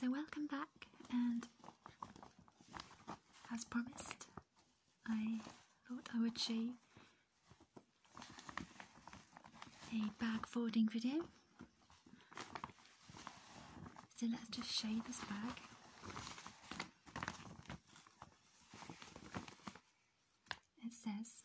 So, welcome back, and as promised, I thought I would show you a bag forwarding video. So, let's just show this bag. It says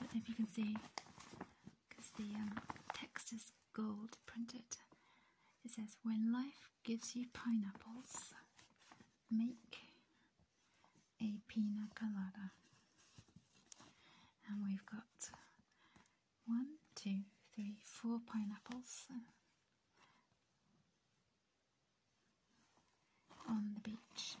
um, if you can see, because the um, text is gold printed. It says, When life gives you pineapples, make a pina colada. And we've got one, two, three, four pineapples on the beach.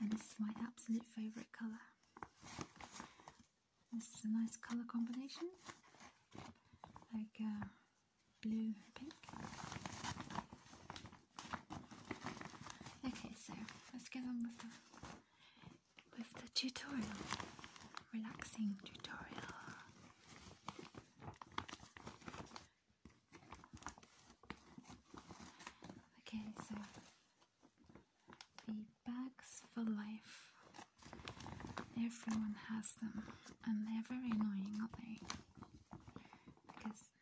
And this is my absolute favourite colour. This is a nice colour combination. Like uh, blue pink. Okay, so let's get on with the with the tutorial. Relaxing tutorial. Okay, so the bags for life. Everyone has them, and they're very annoying, aren't they? Because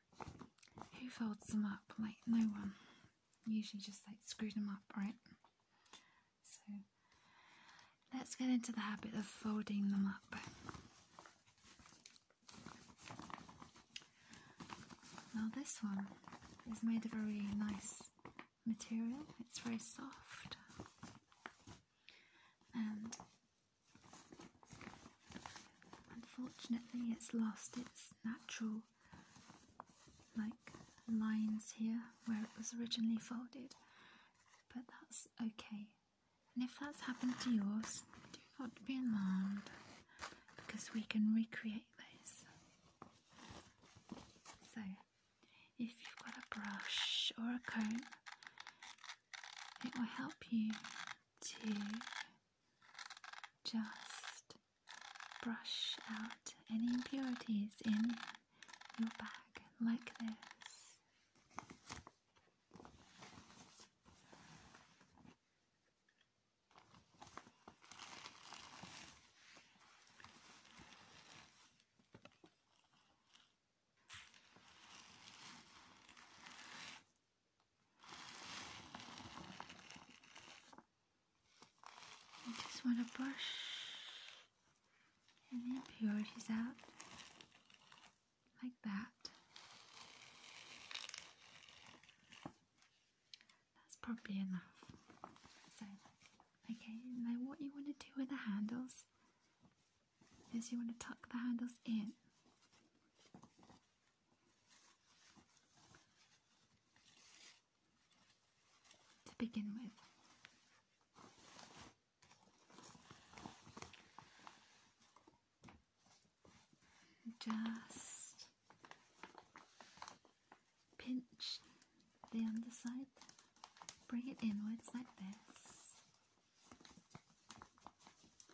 who folds them up? Like, no one. Usually just like screw them up, right? So, let's get into the habit of folding them up. Now, this one is made of a really nice material, it's very soft. Unfortunately, it's lost its natural like lines here where it was originally folded, but that's okay. And if that's happened to yours, do not be alarmed because we can recreate those. So, if you've got a brush or a coat, it will help you to just brush out any impurities in your bag like this. I just want to brush any impurities out like that. That's probably enough. So, okay, now what you want to do with the handles is you want to tuck the handles in. To begin with, just pinch the underside, bring it inwards like this,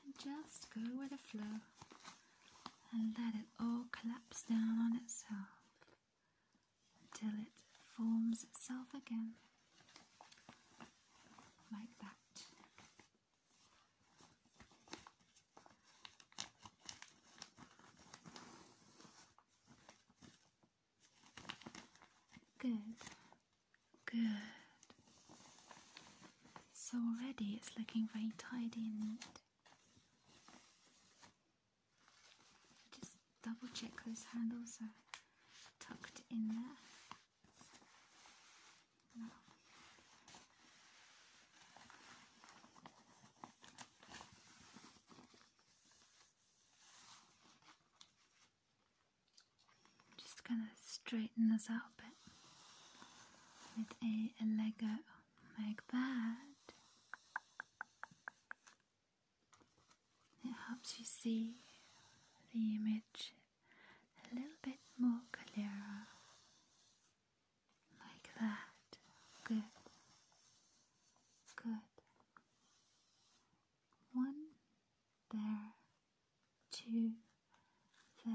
and just go with the flow and let it all collapse down on itself until it forms itself again. Like that. Good. Good. So already it's looking very tidy and neat. Just double check those handles are tucked in there. Just gonna straighten this out a bit with a, a Lego like that. It helps you see the image a little bit more clearer. Like that. Good. Good. One there to there.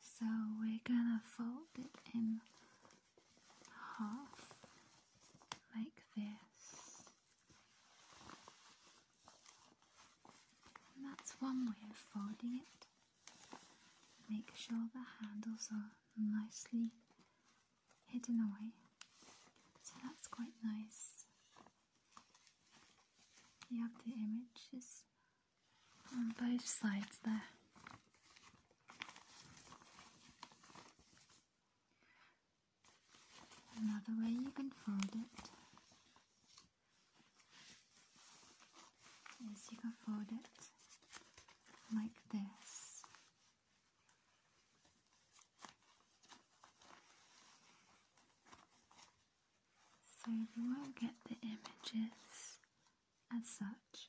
So we're gonna fold it in half like this. And that's one way of folding it. Make sure the handles are nicely hidden away. So that's quite nice. You have the images on both sides there. Another way you can fold it is you can fold it like this. So you will get the images as such,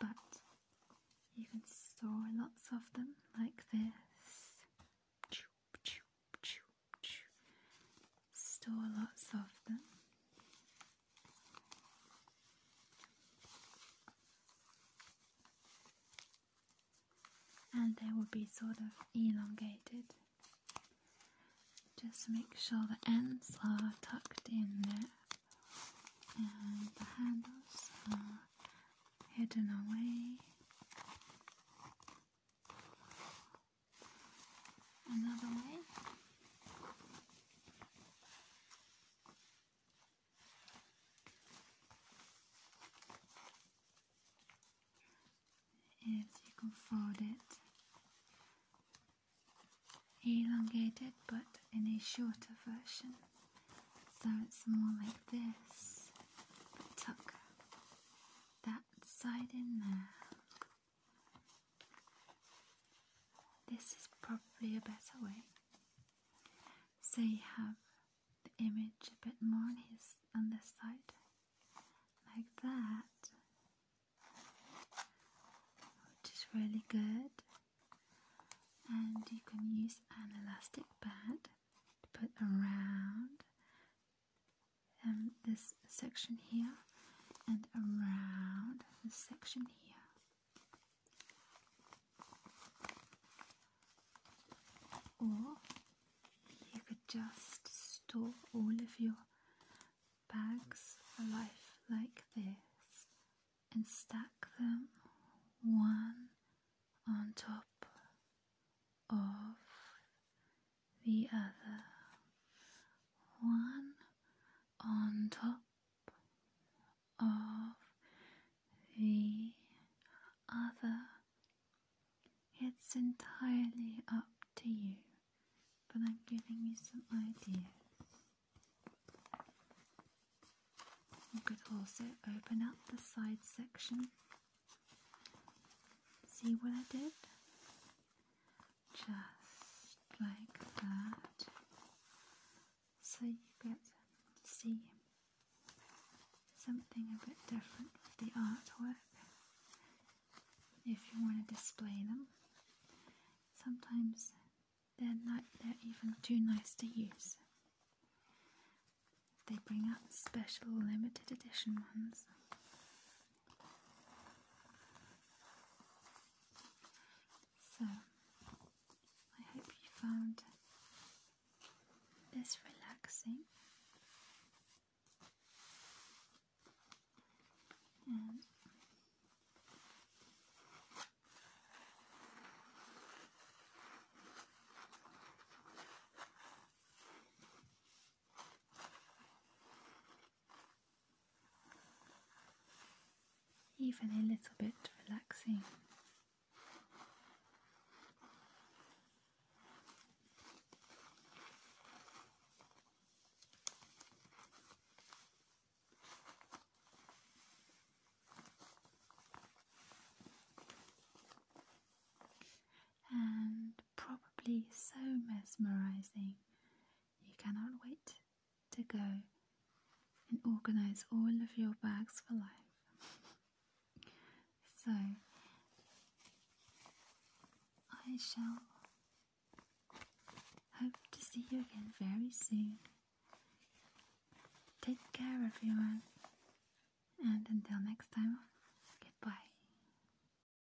but you can store lots of them like this. Store lots of them and they will be sort of elongated. Just make sure the ends are tucked in there and the handles are hidden away. Another way Yes, you can fold it, elongated but in a shorter version, so it's more like this. Tuck that side in there. This is probably a better way. So you have the image a bit more on his on this side. Like that. Which is really good. And you can use an elastic band to put around um, this section here and around the section here. Or you could just store all of your bags for like this and stack them one on top of the other, one on top of the other. It's entirely up to you, but I'm giving you some ideas. You could also open up the side section. See what I did? just like that so you get to see something a bit different with the artwork if you want to display them sometimes they're not they're even too nice to use they bring out special limited edition ones so, I hope you found this relaxing even a little bit relaxing. And probably so mesmerizing. You cannot wait to go and organize all of your bags for life. so I shall hope to see you again very soon. Take care, everyone, and until next time, goodbye.